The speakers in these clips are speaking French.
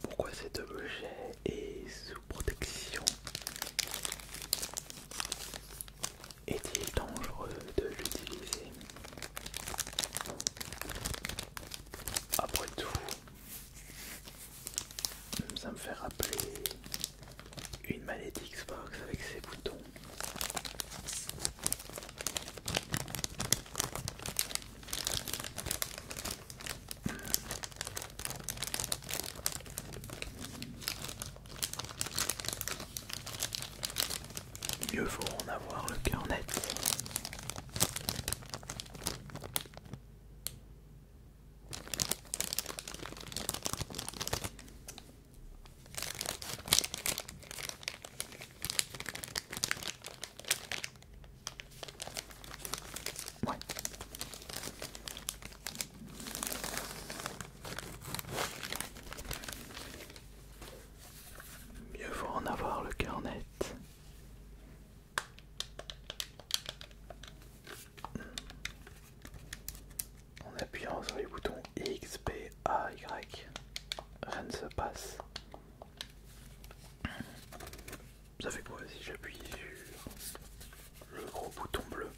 Pourquoi cet objet est sous protection Est-il dangereux de l'utiliser Après tout, ça me fait rappeler une manette Xbox avec ses boutons. Mieux vaut en avoir le cœur net. Mieux vaut en avoir le cœur net. En appuyant sur les boutons X, B, A, Y, rien ne se passe. Ça fait quoi si j'appuie sur le gros bouton bleu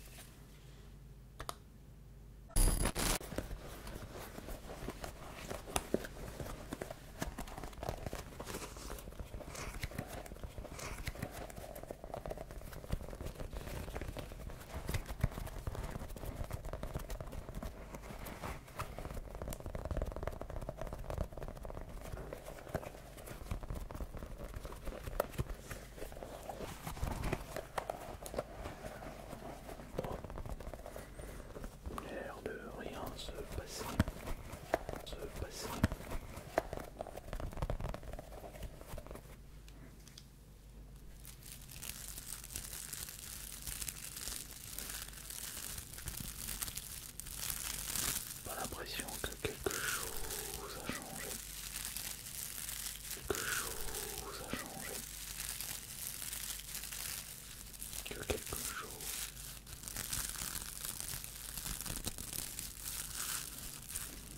L'air de rien se passer, se passer. Pas l'impression que quelque chose a changé. Quelque chose a changé. Que quelque chose.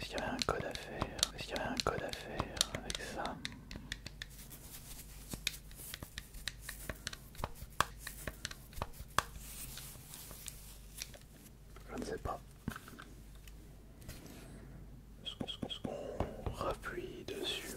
Est-ce qu'il y avait un code à faire Est-ce qu'il y avait un code à faire avec ça Je ne sais pas. Est-ce qu'on rappuie dessus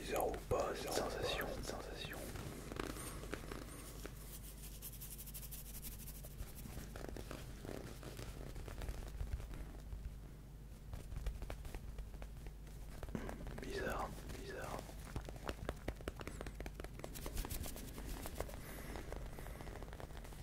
Bizarre ou pas, c'est sensation, sensation. Bizarre, bizarre.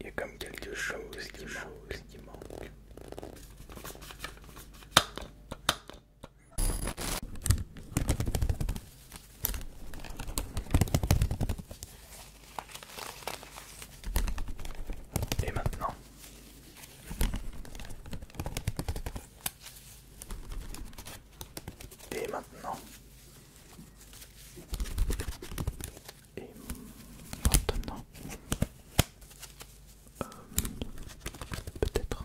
Il y a comme quelque chose, qui, qui manque. Et maintenant et maintenant. Et maintenant. Euh, peut-être.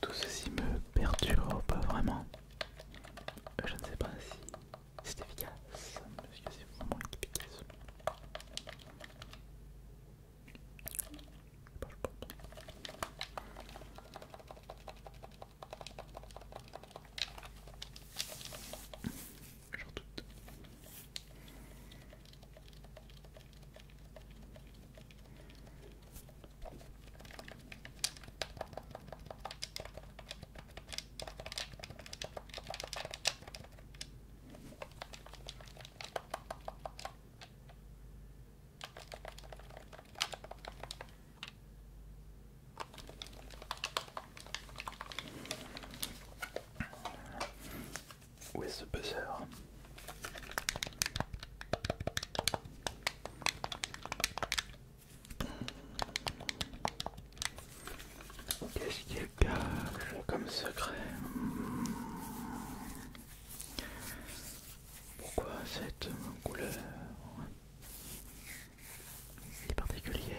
Tout ceci me perturbe vraiment. Euh, je ne sais pas si c'est efficace, parce que c'est vraiment efficace par contre. J'en doute. Où est ce buzzer Qu'est-ce qu'il cache comme secret pourquoi cette couleur si particulière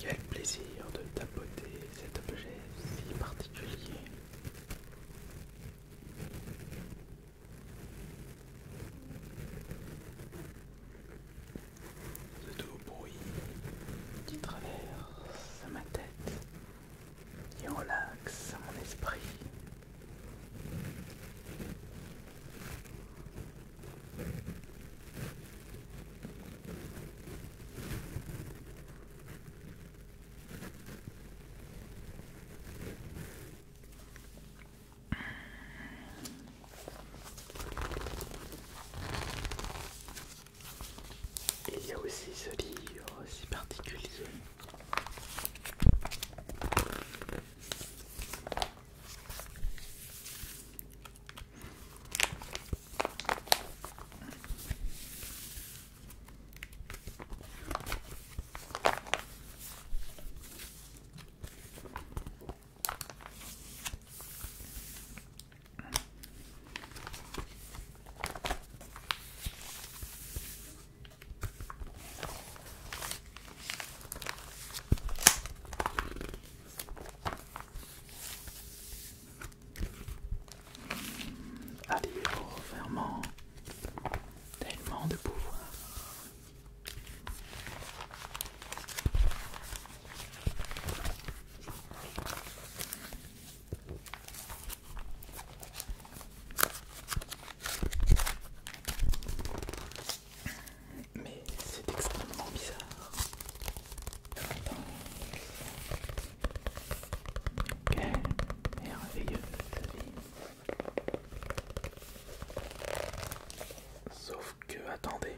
Quel plaisir de tapoter cet objet si particulier ce doux bruit qui traverse ma tête et relaxe mon esprit il y a aussi ce livre si particulier. Allez, au vraiment, tellement de pouvoir. Mais c'est extrêmement bizarre. Quelle merveilleuse vie. Sauf que attendez.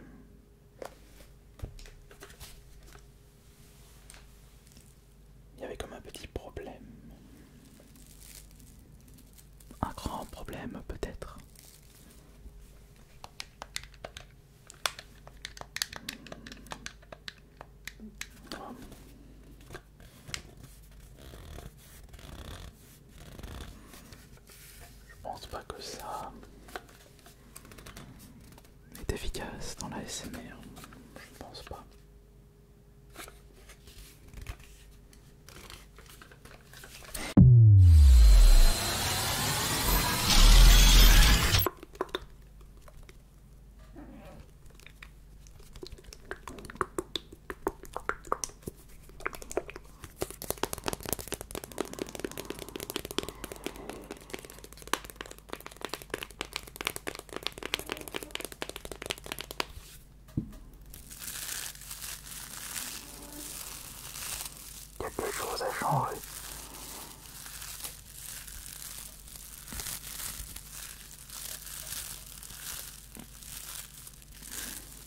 Il y avait comme un petit problème. Un grand problème peut-être. Je pense pas que ça est efficace dans la SMR Je pense pas. Quelque chose a changé.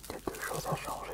Quelque chose a changé.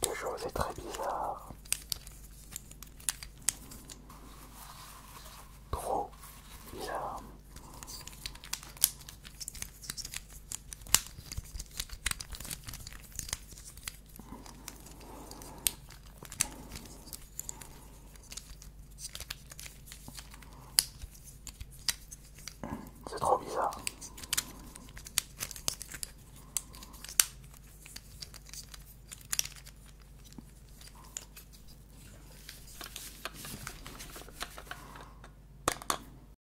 Quelque chose est très bizarre. Trop bizarre. C'est trop bizarre.